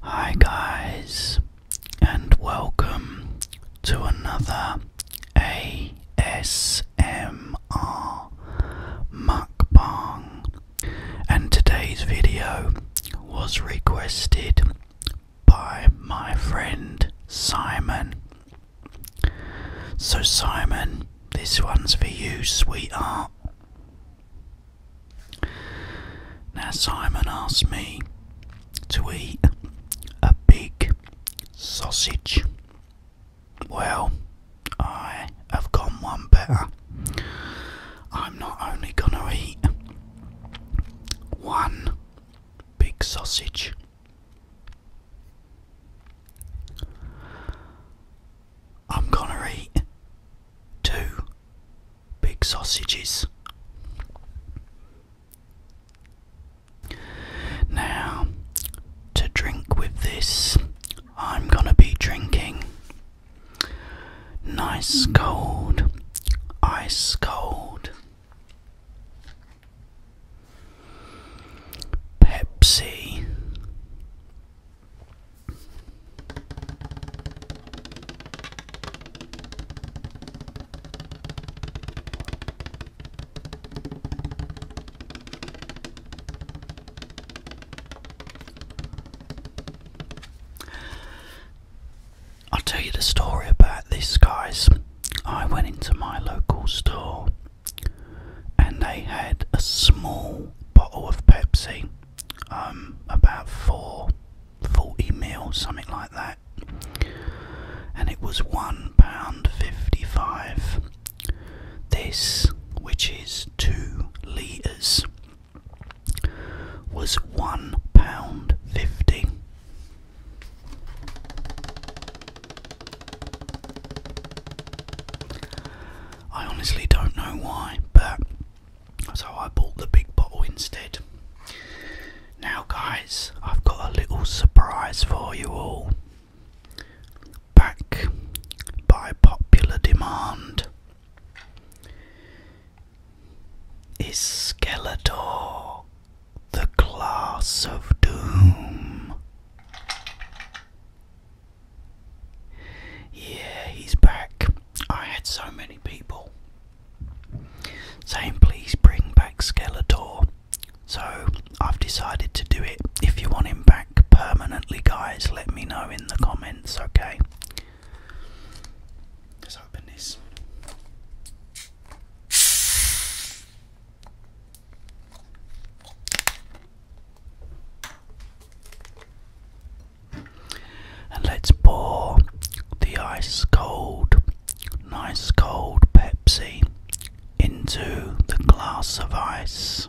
Hi, guys, and welcome to another AS. Mr. mukbang, and today's video was requested by my friend Simon. So, Simon, this one's for you, sweetheart. Now, Simon asked me to eat a big sausage. Well, I have gone one better. I'm not only gonna eat one big sausage, I'm gonna eat two big sausages. Now, to drink with this, I'm gonna be drinking nice cold ice cold Pepsi. I'll tell you the story about this, guys. I went into my local store and they had a small bottle of Pepsi, um, about four, 40 mil, something like that, and it was one pound fifty-five. This, which is two litres, was one pound fifty. I honestly don't know why, but so I bought the big bottle instead. Now, guys, I've got a little surprise for you all back by popular demand is Skeletor the Class of Doom. Yeah, he's back. I had so many people saying, please bring back Skeletor. So I've decided to do it if you want him back permanently, guys, let me know in the comments, okay? Let's open this. And let's pour the ice cold, nice cold Pepsi into the glass of ice.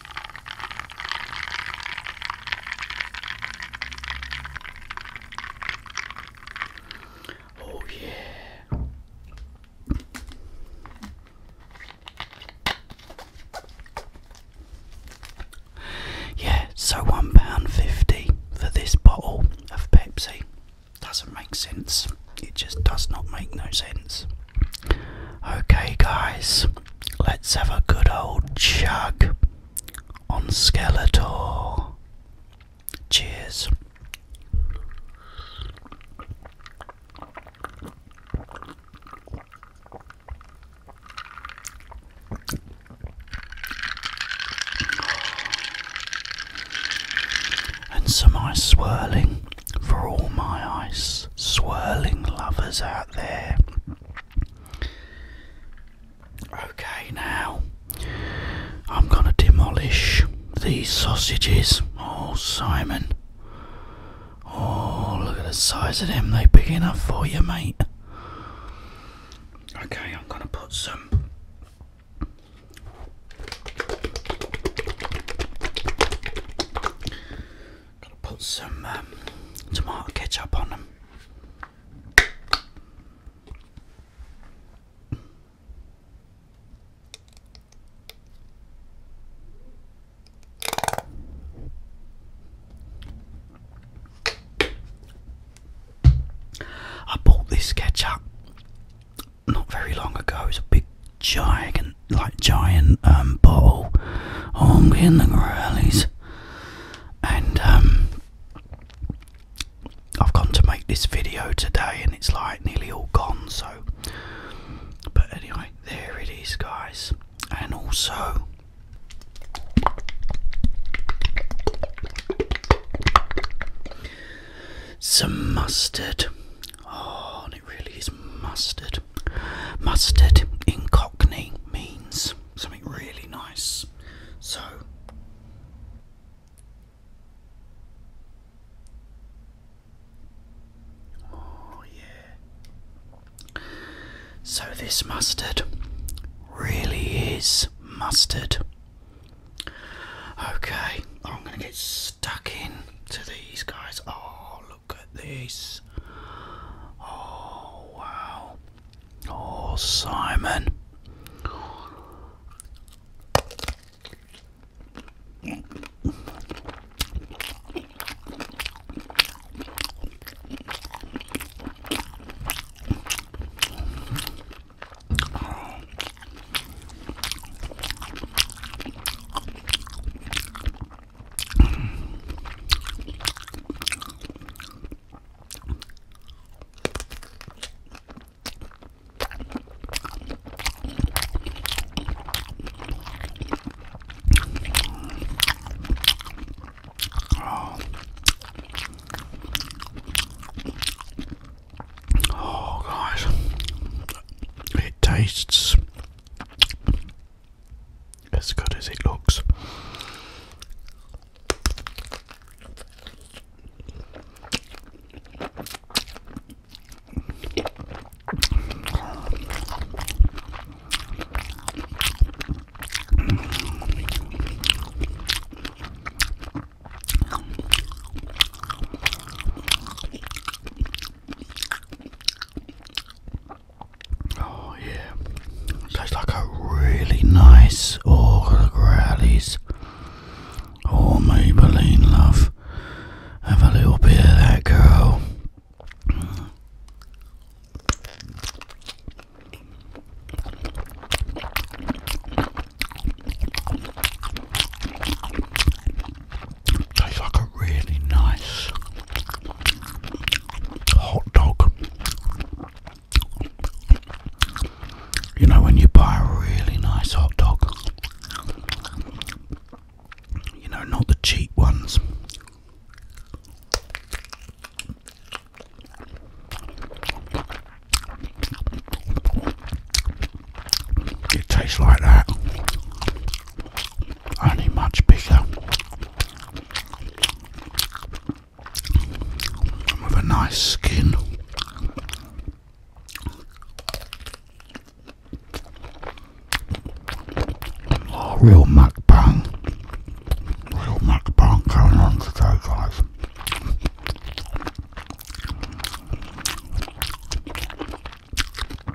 Oh, yeah. Yeah, so £1.50 for this bottle of Pepsi. Doesn't make sense. It just does not make no sense. Okay, guys, let's have a good old chug on Skeletor. Cheers. And some ice swirling for all my ice swirling lovers out there. Okay, now I'm gonna demolish these sausages. Oh, Simon. Oh, look at the size of them. They big enough for you, mate. Okay, I'm gonna put some. Gotta put some um, tomato ketchup on them. I bought this ketchup not very long ago. It's a big, giant like giant um, bottle hung in the Morellis. And um, I've gone to make this video today and it's like nearly all gone. So, but anyway, there it is, guys. And also, some mustard. Oh, it really is mustard. Mustard in Cockney means something really nice. So, oh, yeah. So, this mustard really is mustard. Okay, I'm going to get stuck in to these guys. Oh, look at this. Oh, wow. Oh, Simon. Oh. oh, guys, it tastes as good as it looks. Oh yeah, tastes like a really nice Orgel Growlies or oh, Maybelline love. Have a little bit of that girl. Tastes like a really nice hot dog. You know, when you buy a really nice hot dog, you know, not the cheap ones. It tastes like that only much bigger with a nice skin. real mukbang, real mukbang going on today, guys.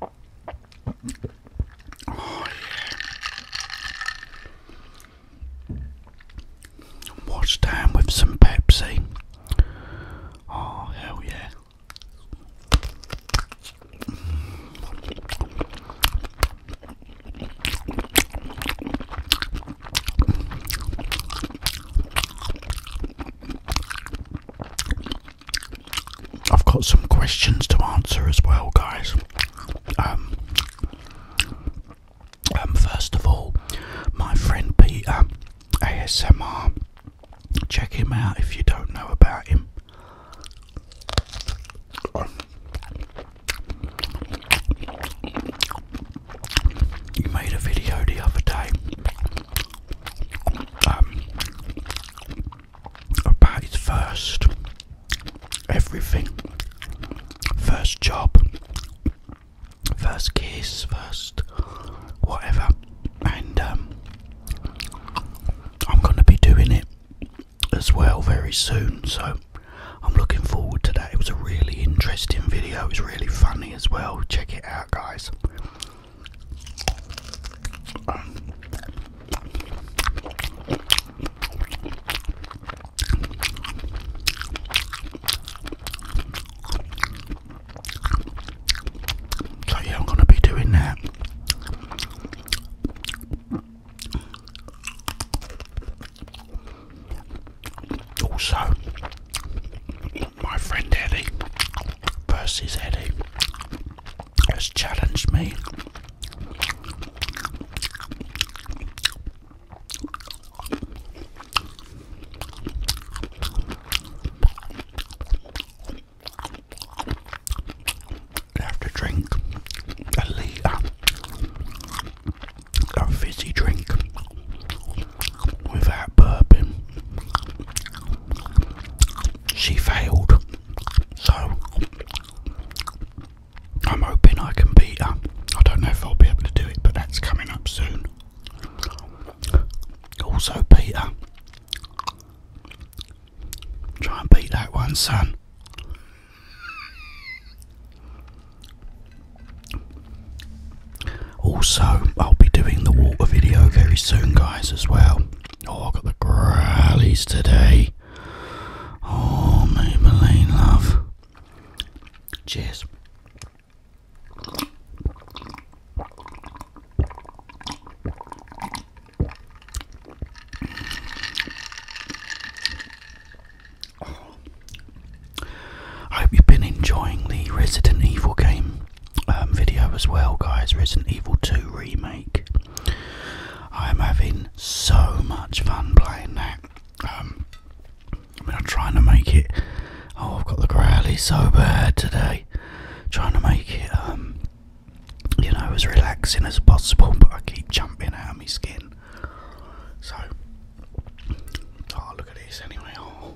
Oh, yeah. down with some Pepsi. Oh, hell yeah. I've got some questions to answer as well, guys. Um, um, first of all, my friend Peter ASMR. Check him out if you don't know about him. You made a video the other day. Um, about his first everything first job, first kiss, first whatever. And um, I'm going to be doing it as well very soon, so I'm looking forward to that. It was a really interesting video, it was really funny as well. Check it out, guys. Um, so yeah, I'm going to be doing that. Also, my friend Eddie versus Eddie has challenged me. I have to drink a litre of fizzy drink without burping. She failed, so I'm hoping I can beat her. I don't know if I'll be able to do it, but that's coming up soon. Also, Peter, try and beat that one, son. Also, I'll be doing the water video very soon, guys, as well. Oh, I've got the growlies today. Oh, Maybelline love. Cheers. I hope you've been enjoying the Resident Evil game um, video as well, guys. Resident Evil 2 Remake. I'm having so much fun playing that. Um, I am trying to make it. Oh, I've got the growly so bad today. Trying to make it, um, you know, as relaxing as possible, but I keep jumping out of my skin. So, oh, look at this anyway. Oh.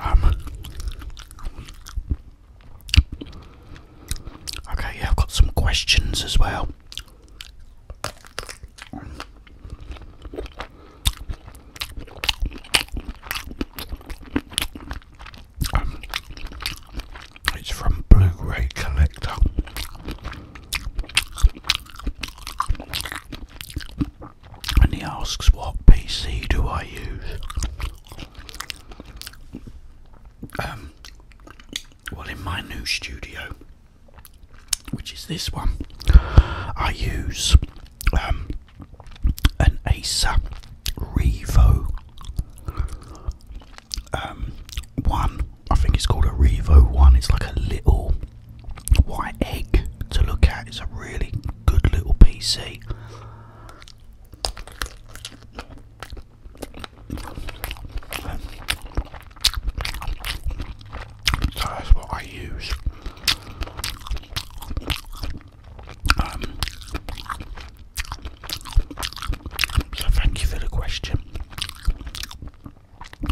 Um, okay, yeah, I've got some questions as well it's from Blu-ray Collector. And he asks, What PC do I use? Um, well, in my new studio, which is this one, I use um, an Acer Revo um, 1. I think it's called a Revo 1. It's like a little white egg to look at. It's a really good little PC. So that's what I use. Um, so thank you for the question.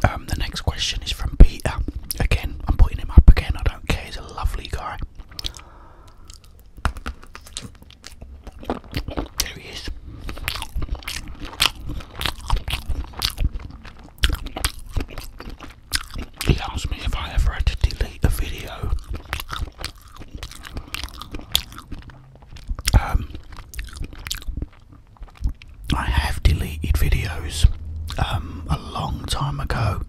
Um, the next question is from Peter. Again, I'm putting him up again. I don't care. He's a lovely guy. There he is. He asked me if I ever had to delete a video um, I have deleted videos um, a long time ago.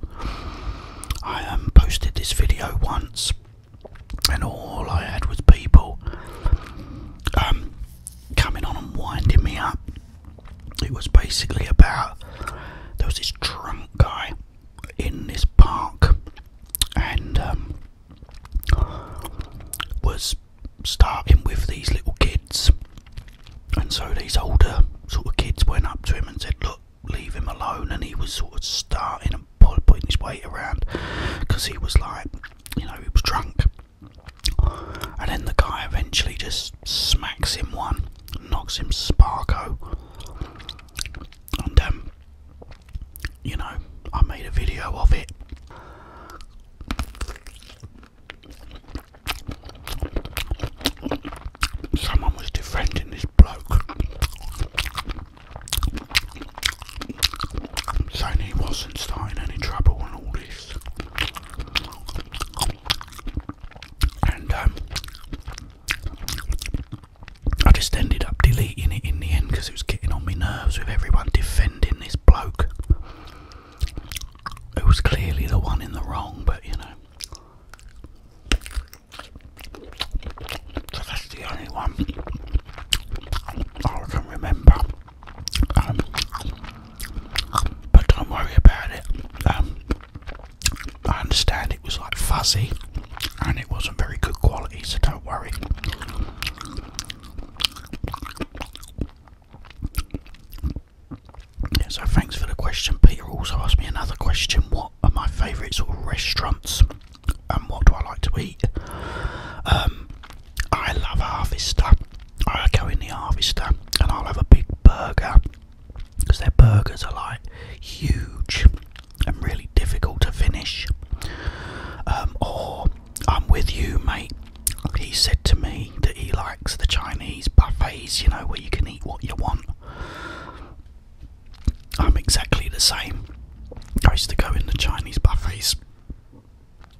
I um, posted this video once, and all I had was people coming on and winding me up. It was basically about there was this drunk guy in this park and um, was starting with these little kids. And so these older sort of kids went up to him and said, Look, leave him alone. And he was sort of starting and putting his weight around because he was like, you know, he was drunk. And then the guy eventually just smacks him one, knocks him sparko. And um, you know, I made a video of it. Someone was defending this bloke, saying he wasn't starting any trouble and all this. And um, I just ended up deleting it in the end because it was getting on my nerves with everyone defending this bloke It was clearly the one in the wrong, but you know. that's the only one I can remember. Um, but don't worry about it. Um, I understand it was like fuzzy and it wasn't very good quality, so don't worry. so thanks for the question. Peter also asked me another question what are my favourite sort of restaurants and what do I like to eat? Um, I love Harvester. I go in the Harvester and I'll have a big burger because their burgers are like huge and really difficult to finish. Um, or, I'm with you, mate. He said to me that he likes the Chinese buffets, you know, where you can eat what you want. I'm exactly the same. I used to go in the Chinese buffets,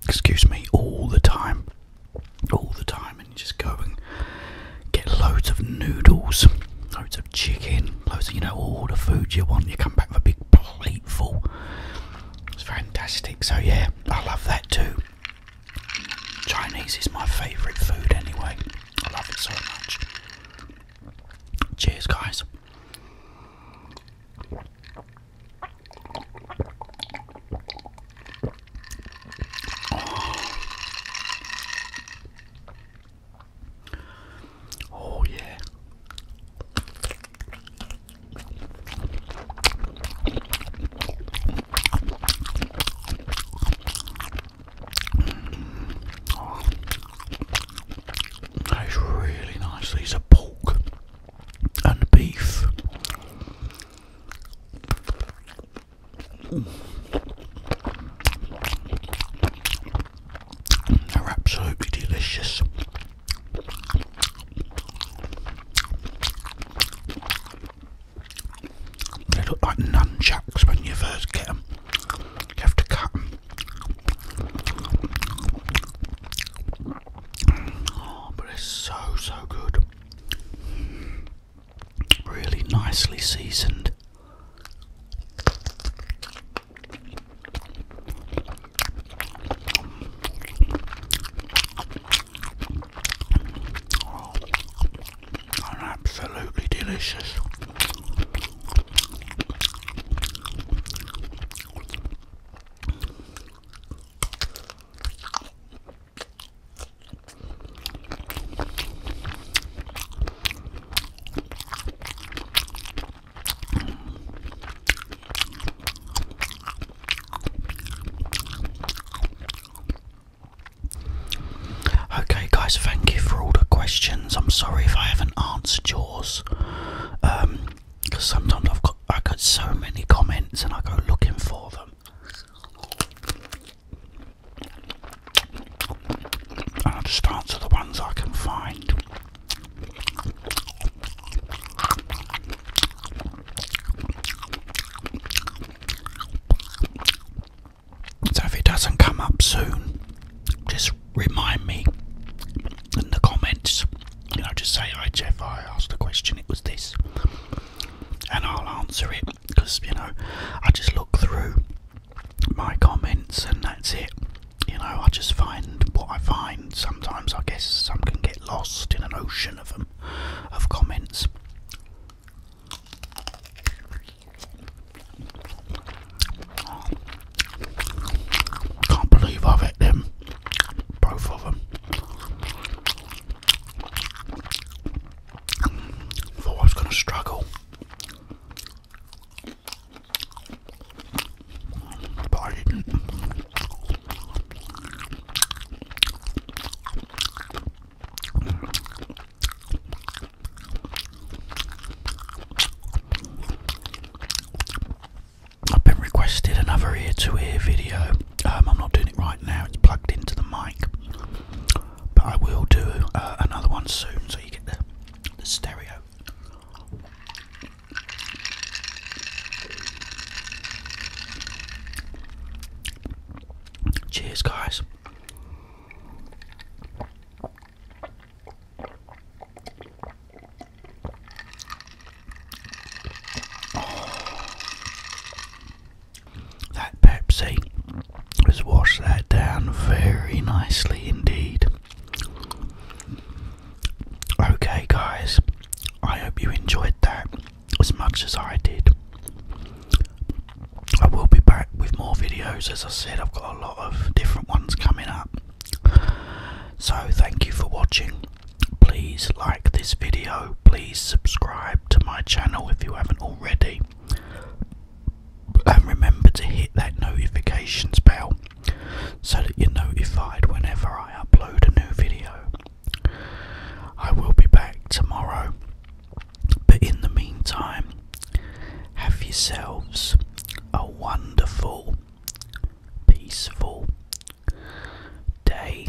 excuse me, all the time. All the time, and you just going get loads of noodles, loads of chicken, loads of you know all the food you want. You come back with a big plate full. It's fantastic. So yeah, I love that too. Chinese is my favourite food anyway. I love it so much. Cheers, guys. Oh, yeah. Mm. really nice. These are pork and beef. Mm. They're absolutely delicious. They look like nunchucks when you first get them. You have to cut them. Oh, but it's so, so good. Really nicely seasoned. Oh, and absolutely delicious. Okay, guys, thank you for all the questions. I'm sorry if I haven't answered yours, because um, sometimes I've got I got so many comments and I go looking for them and I just answer the ones I can find. So if it doesn't come up soon, just remind me in the comments. You know, just say, "Hi Jeff, I asked a question. It was this," and I'll answer it because you know I just look through my comments, and that's it. You know, I just find what I find. Sometimes I guess some can get lost in an ocean of them, of comments. can't believe I've hit them, both of them. Thought I was going to struggle. I have been requested another ear to ear video. Um, I'm not doing it right now, it's plugged into the mic. But I will do uh, another one soon so you get there the stereo. Cheers, guys. that Pepsi just wash that down very nicely indeed. Okay, guys, I hope you enjoyed that as much as I did. I will be back with more videos, as I said, I've got a lot of different ones coming up. So, thank you for watching. Please like this video, please subscribe to my channel if you haven't already and remember to hit that notifications bell so that you're notified whenever I upload a new video. I will be back tomorrow, but in the meantime, have yourselves a wonderful, peaceful day.